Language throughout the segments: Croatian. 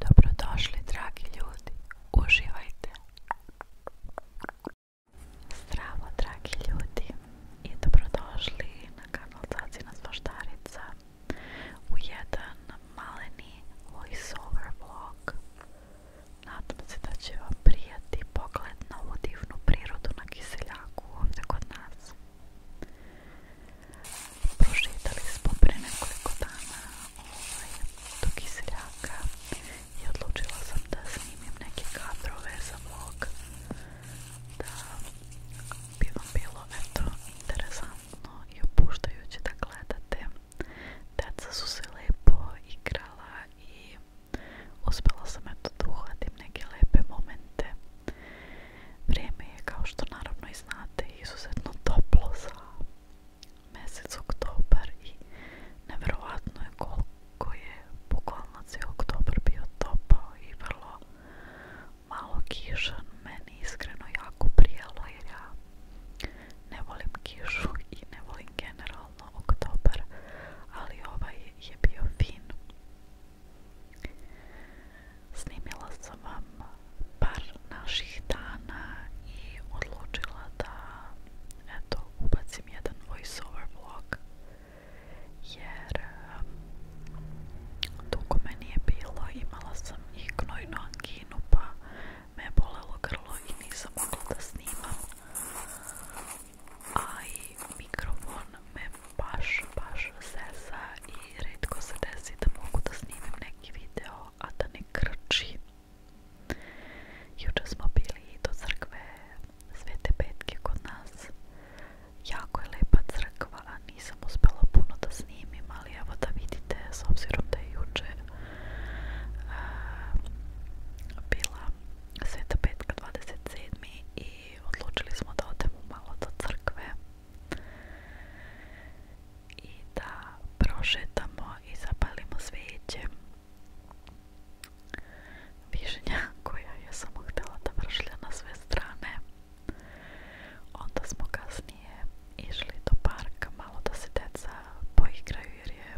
Dobrodošli dragi ljudi, uživajte! Zdravo dragi ljudi i dobrodošli na kanal Cacina Zvaštarica u jedan maleni over vlog. Nadam se da će vam prijati pogled na ovu divnu prirodu na kiseljaku ovdje kod nas. Prošetali smo prije nekoliko dana ovaj, do kiseljaka i odlučila sam da snimim neke kadrove za vlog da bi vam bilo eto interesantno i opuštajuće da gledate deca su se lijepo igrala i uspjela sam eto da neke lepe momente Vrijeme je kao što naravno i znate izuzetno toplo za mjesec oktobar i nevjerojatno je koliko je bukvalno cijel oktobar bio topao i vrlo malo kišan. Meni iskreno jako prijelo jer ja ne volim kišu i ne volim generalno oktobar, ali ovaj je bio fin snimila sam vam par naših dana i odlučila da eto, ubacim jedan voiceover vlog jer dugo me nije bilo, imala sam i knojnu kinu pa me je bolelo grlo i nisam mogla da snimam a i mikrofon me baš, baš sesa i redko se desi da mogu da snimim neki video a da ne krči. Jučer smo bili do crkve Svete Petke kod nas. Jako je lepa crkva, a nisam uspjela puno da snimim, ali evo da vidite, s obzirom da je jučer bila Sveta Petka 27. i odlučili smo da odemo malo do crkve i da prošetamo i zapalimo svijeće Vižnja koja je samo htjela da vršlja na sve strane onda smo kasnije išli do parka malo da se deca poigraju jer je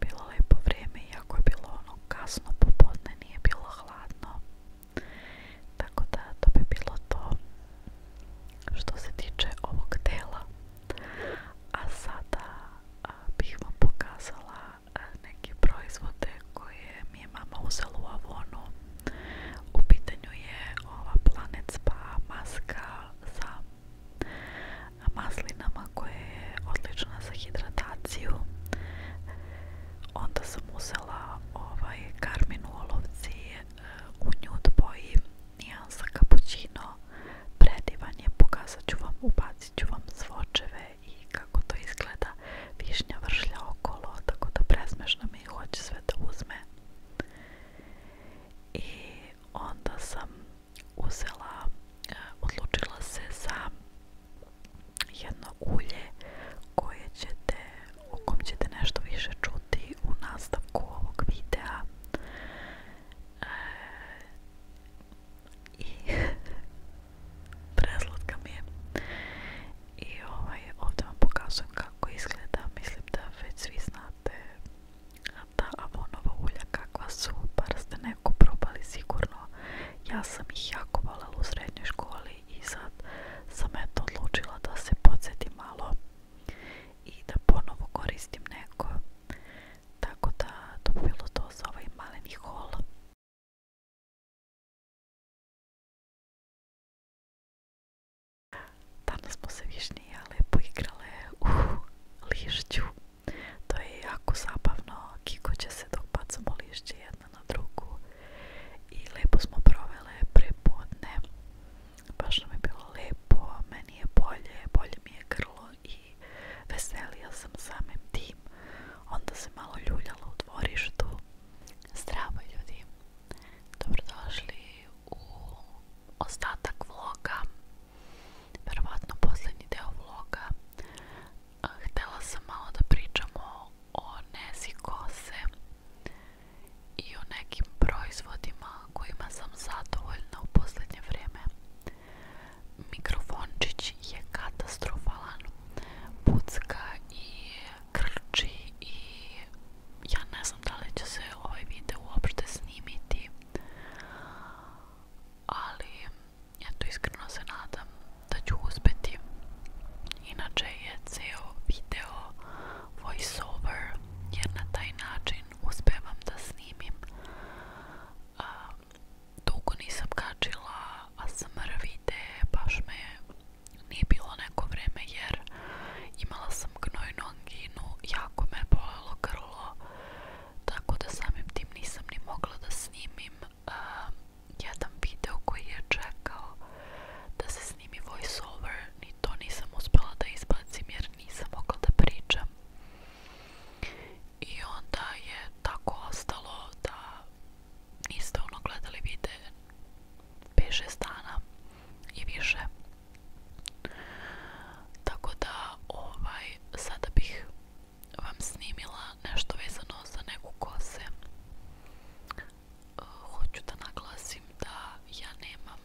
bilo lijepo vrijeme iako je bilo ono kasno popodne nije bilo hladno tako da to bi bilo to što se tiče ovog dela. A sada bih vam pokazala neke proizvode koje mi je mama uzela u Avonu. U pitanju je ova Planet Spa maska sa maslinama koja je odlična za hidrataciju. Onda sam uzela ovaj karmin u olovci u od boji nijansa cappuccino predivan je, pokazat ću vam, ubacit ću vam svočeve i kako to izgleda višnja vršlja okolo tako da presmešno mi hoće sve da uzme i onda sam uzela eh, odlučila se za jedno ulje koje ćete o ćete nešto više čuti u nastavku ovog videa. E, I preslatka mi je. I ovaj, ovdje vam pokazujem kako izgleda. Mislim da već svi znate ta avonova ulja kakva su. Bar ste neko probali sigurno. Ja sam ih jako voljela u srednjoj školi i sad sam eto odlučila da se podsjetim malo i da ponovo koristim neko tako da to bi za ovaj danas smo se višnija lepo u lišću to je jako zabavno kikoće se dok bacamo na drugu i lepo smo provele prepodne baš nam je bilo lepo meni je bolje, bolje mi je krlo i veselija sam samim tim onda se malo ljuljala u dvorištu zdravo ljudi dobrodošli u ostatak vloga verovatno posljednji deo vloga htjela sam malo da pričamo o nezi kose i o nekim proizvodima kojima sam zadovoljna u posljednje vrijeme. Mikrofončić je katastrofalan, pucka i krči i ja ne znam da li će se ovaj video uopšte snimiti, ali ja to iskreno se nadam da ću uspjeti Inače je ceo video over, jer na taj način uspevam da snimim. dugo nisam kačila ASMR videe, baš me nije bilo neko vreme jer imala sam gnojnu anginu, jako me bolelo grlo, tako da samim tim nisam ni mogla da snimim jedan video koji je čekao da se snimi voice over ni to nisam uspjela da izbacim jer nisam mogla da pričam i onda je tako ostalo da niste ono gledali video više stana i više tako da ovaj sada bih vam snimila nešto vezano za neku kose hoću da naglasim da ja nemam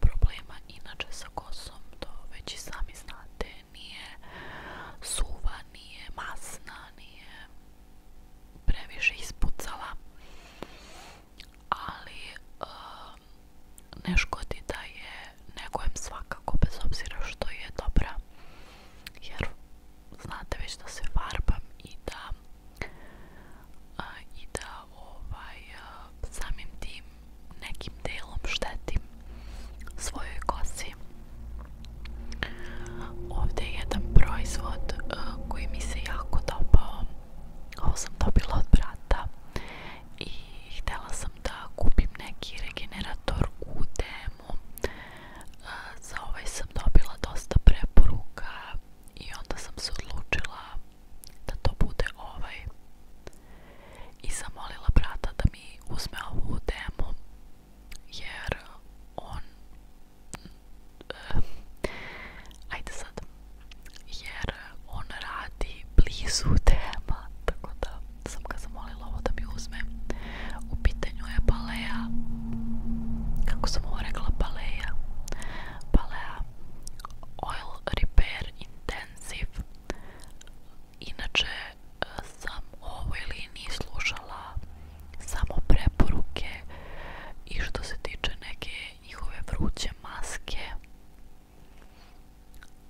problema inače sa kosom, to već i sami znate, nije suva, nije masna, nije previše ispucala, ali eh, ne škodi da je negojem svakako, bez obzira što je dobra, jer znate već da se varbam i da i da ovaj samim tim nekim delom štetim svojoj kosi ovdje je jedan proizvod koji mi se jako dopao ovo sam dobila od brata i htjela sam da kupim neki regenerator u temu. za ovaj sam dobila dosta preporuka i onda sam se odlučila da to bude ovaj i zamolila brata da mi uzme ovu temu jer on eh, ajde sad jer on radi blizu tema tako da sam ga zamolila ovo da mi uzme u Nju je Balea kako sam ovo rekla Balea Balea Oil Repair Intensive inače eh, sam ovoj liniji slušala samo preporuke i što se tiče neke njihove vruće maske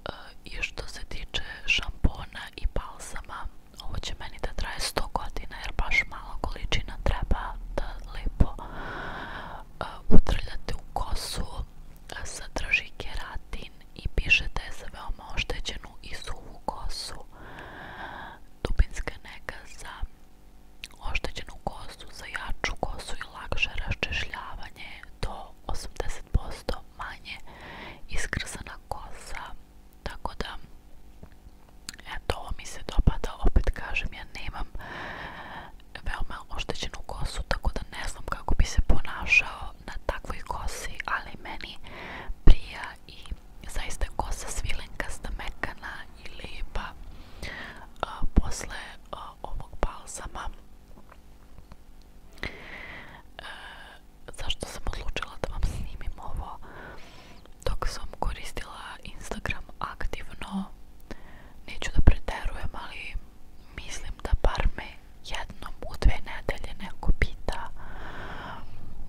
eh, i što se tiče šampona i balsama ovo će meni da traje 100 godina jer baš malo količina treba da lipo uh, utrljate u kosu sa draži keratin i pišete za veoma oštećenu i suvu kosu dubinska neka za oštećenu kosu, za jaču kosu i lakše raščešljavanje do 80% manje iskrsana kosa tako da, eto, ovo mi se dopada, opet kažem, ja nemam veoma oštećenu kosu, tako da ne znam kako bi se ponašao na takvoj kosi, ali meni prija i zaista kosa svilenkasta, mekana i lijepa. A, posle ovog Za e, zašto sam odlučila da vam snimim ovo, dok sam koristila Instagram aktivno, neću da preterujem, ali mislim da par me jednom u dve nedelje neko pita,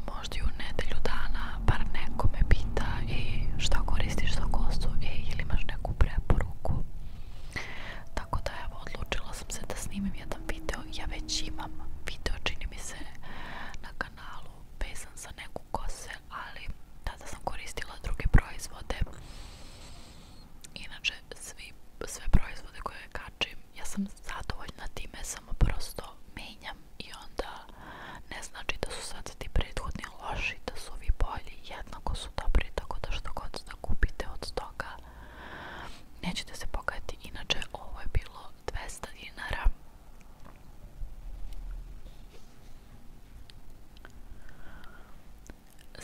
možda i u nedelju dana, bar neko me pita i e, što koristiš za gostu e, ili imaš neku preporuku. Tako da evo, odlučila sam se da snimim jedan video, ja već imam video, čini mi se, na kanalu pesan za neku kose, ali tada sam koristila druge proizvode. Inače, svi, sve proizvode koje kačim, ja sam zadovoljna time, samo prosto menjam i onda ne znači da su sad ti prethodni loši, da su ovi bolji, jednako su dobri, tako da što god da kupite od stoka. nećete se pokajati. Inače, ovo je bilo 200 dinara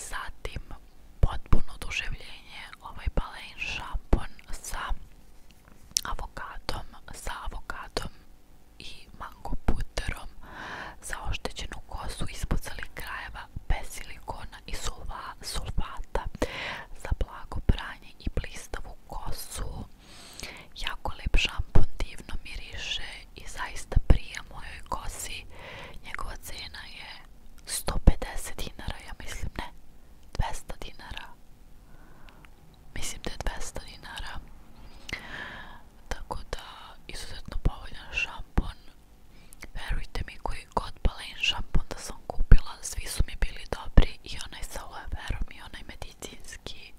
Zatim potpuno oduševljenje ovaj balen šampon sa avokatom, sa avokatom i mango puterom za oštećenu kosu ispucali krajeva bez silikona i sulfata za blago pranje i blistavu kosu Jako lep šampon, divno miriše i zaista prija mojoj kosi. Njegova cena je 150 dinara, ja mislim ne, 200 dinara. Mislim da je 200 dinara. Tako da, izuzetno povoljan šampon. Verujte mi koji god balen šampon da sam kupila, svi su mi bili dobri i onaj sa aloe verom i onaj medicinski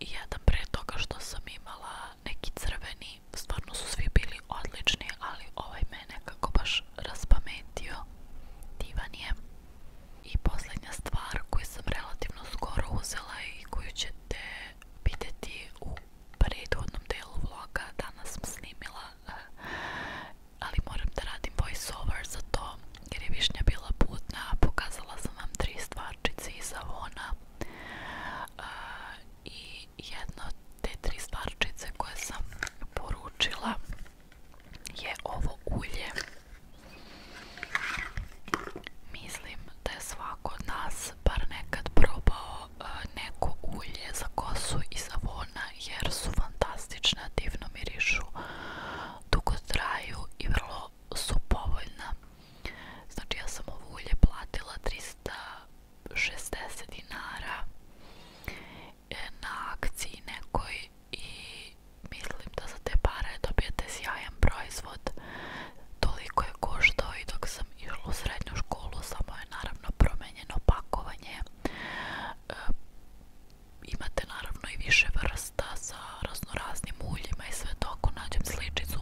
i jedan prije toga što sam imala neki crveni, stvarno su svi bili odlični, ali ovaj mene nekako baš raspametio, divan je. I posljednja stvar koju sam relativno skoro uzela i koju ćete vidjeti u prethodnom delu vloga, danas sam snimila eh, ali moram da radim over za to jer je višnja bila putna, pokazala sam vam tri stvarčice i Avona i jedna od te tri stvarčice koje sam poručila je ovo ulje. Mislim da je svako od nas bar nekad probao neko ulje za kosu i zavona, jer su fantastična, divno mirišu dugo traju i vrlo su povoljna. Znači ja sam ovu ulje platila 360 dinara e, na akciji nekoj i mislim da za te pare dobijete sjajan proizvod. Toliko je koštao i dok sam išla u srednju školu samo je naravno promenjeno pakovanje. E, imate naravno i više vrsta sa raznoraznim uljima i sve to ako nađem sličicu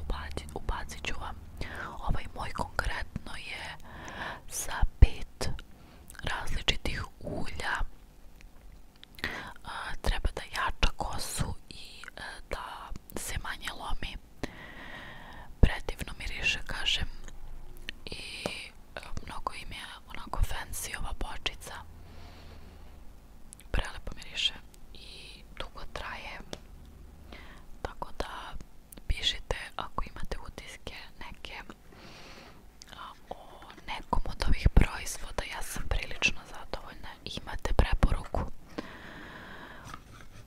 ubacit, ću vam ovaj moj konkretno je sa pet različitih ulja treba da jača kosu i e, da se manje lomi predivno miriše kažem i mnogo im je onako fancy ova bočica prelepo miriše i dugo traje tako da pišite ako imate utiske neke o nekom od ovih proizvoda ja sam prilično zadovoljna imate preporuku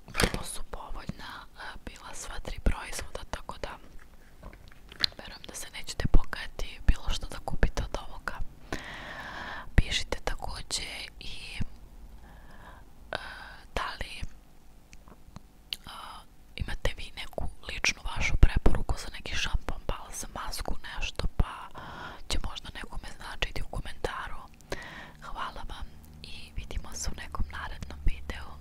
vrlo su povoljna bila sva tri proizvoda tako da Verujem da se nećete pokajati bilo što da kupite od ovoga. Pišite također i e, da li e, imate vi neku ličnu vašu preporuku za neki šampon, pa za masku, nešto, pa će možda nekome značiti u komentaru. Hvala vam i vidimo se u nekom narednom videu.